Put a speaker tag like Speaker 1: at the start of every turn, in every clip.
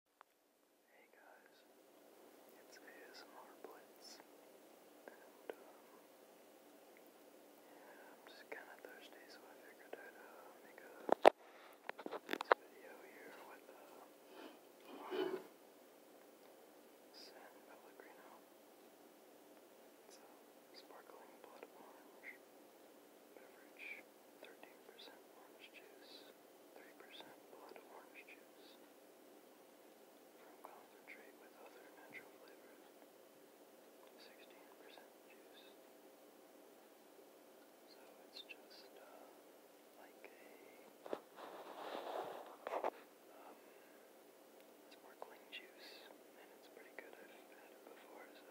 Speaker 1: Hey guys, it's ASMR Blitz, and um, yeah, I'm just kinda thirsty, so I figured I'd uh, make a video here with uh, San Pellegrino. It's a sparkling blood orange beverage. 13% orange juice, 3% blood orange juice. From concentrate with other natural flavors, 16% juice. So it's just uh, like a um, sparkling juice, and it's pretty good. I've had it before, so.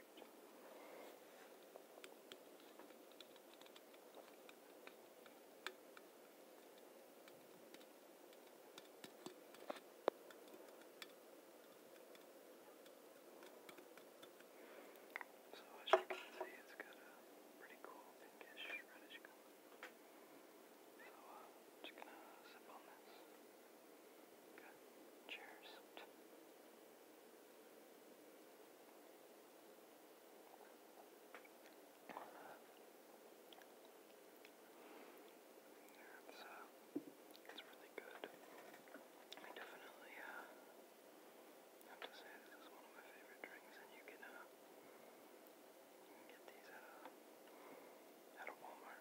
Speaker 1: So as you can see, it's got a pretty cool pinkish reddish color. So uh, I'm just gonna sip on this. Good. Cheers. It's, it's uh, really good. I definitely have to say this is one of my favorite drinks, and you can, uh, get these at a Walmart.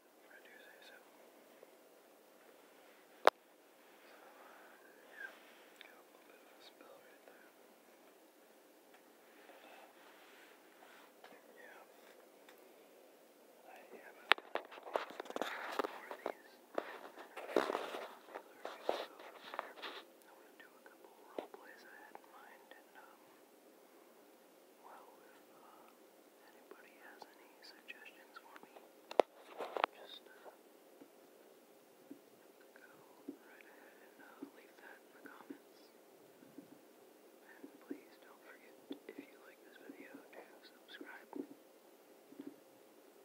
Speaker 1: If I do say so. So, um, yeah, got a little bit of a spill right there. But, uh, yeah. I have a more of these. I want to do a couple role plays I had in mind and, um, well, if, uh, anybody has any suggestions for me, just uh, go right ahead and uh, leave that in the comments. And please don't forget, if you like this video, to subscribe.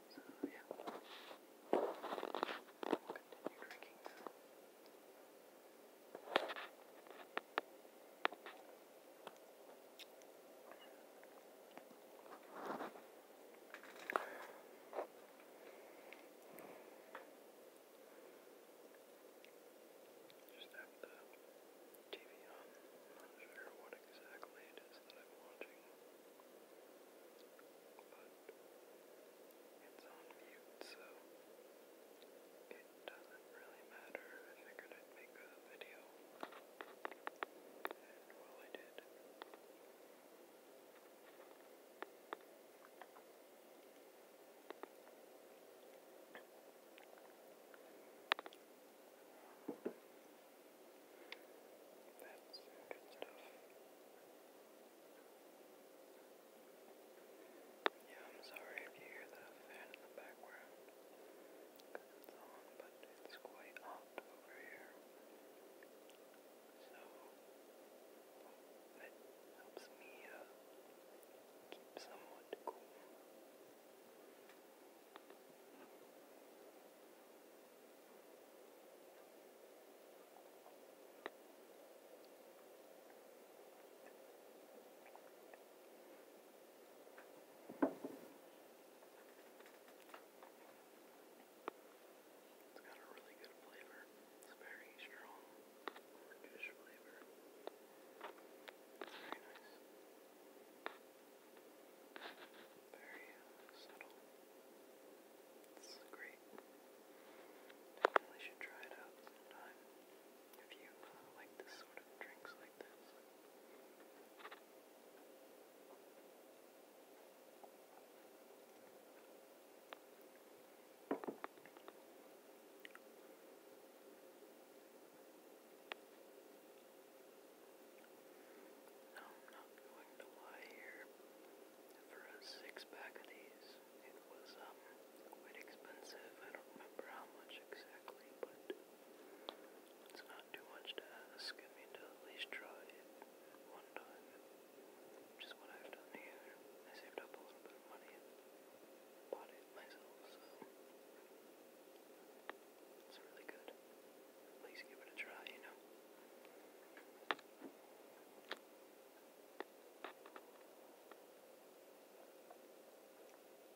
Speaker 1: So, yeah. We'll continue drinking now. Just have the TV on. I'm not sure what exactly it is that I'm watching, but it's on mute, so it doesn't really matter. I figured I'd make a video. And well, I did. That's good stuff. Yeah, I'm sorry if you hear the fan in the background because it's long, but it's quite hot over here. So it helps me uh, keep somewhat cool. I it's got a really good flavor. It's very strong orangish flavor. It's very nice. Very uh, subtle. It's great. Definitely should try it out sometime if you uh, like this sort of drinks like this. Now I'm not going to lie here. For a six pack of these, it was um quite expensive. I don't remember how much exactly, but it's not too much to ask. I mean, to at least try it one time, which is what I've done here. I saved up a little bit of money and bought it myself, so it's really good. At least give it a try, you know.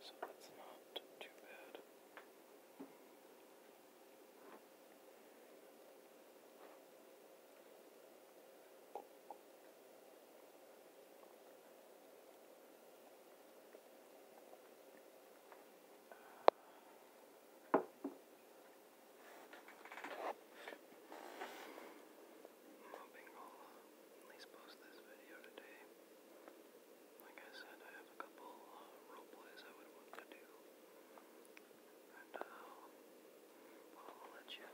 Speaker 1: So that's not too bad. Uh, I'm hoping I'll at least post this video today. Like I said, I have a couple uh, I would want to do. And uh, I'll let you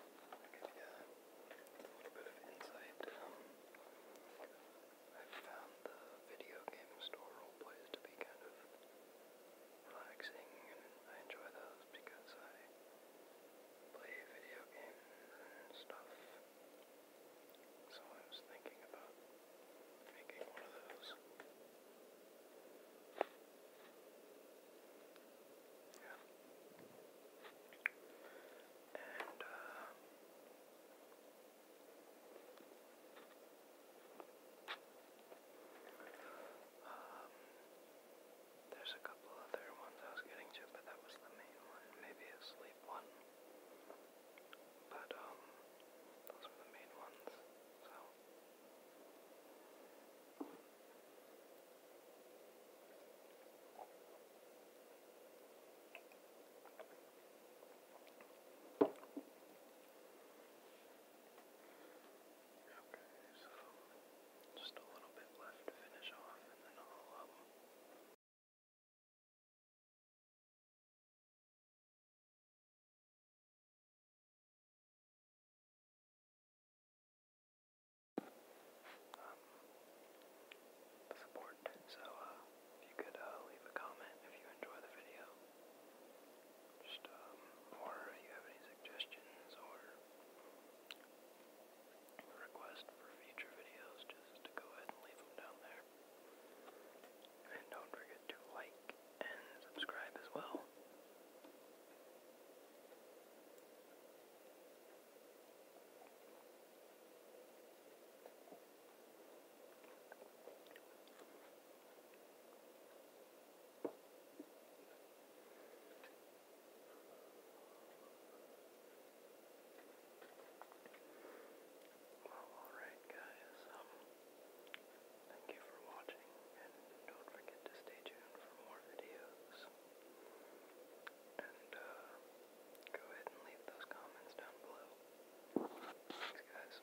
Speaker 1: give a little bit of insight. Um, i found the video game store role to be kind of relaxing, and I enjoy those videos because I play video games and stuff. So I was thinking about making one of those. Yeah. And, uh, I um, there's a couple other ones I was getting to, but that was the main one. Maybe a sleep one. But, um, those were the main ones, so. Okay, so just a little bit left to finish off, and then I'll um. Um, support. So, uh, if you could uh, leave a comment if you enjoy the video, just, um, if you have any suggestions or requests for future videos, just to go ahead and leave them down there. And don't forget to like and subscribe as well. Well, alright, guys. Um, thank you for watching, and don't forget to stay tuned for more videos. And, uh, go ahead and leave those comments down below. Thanks, guys.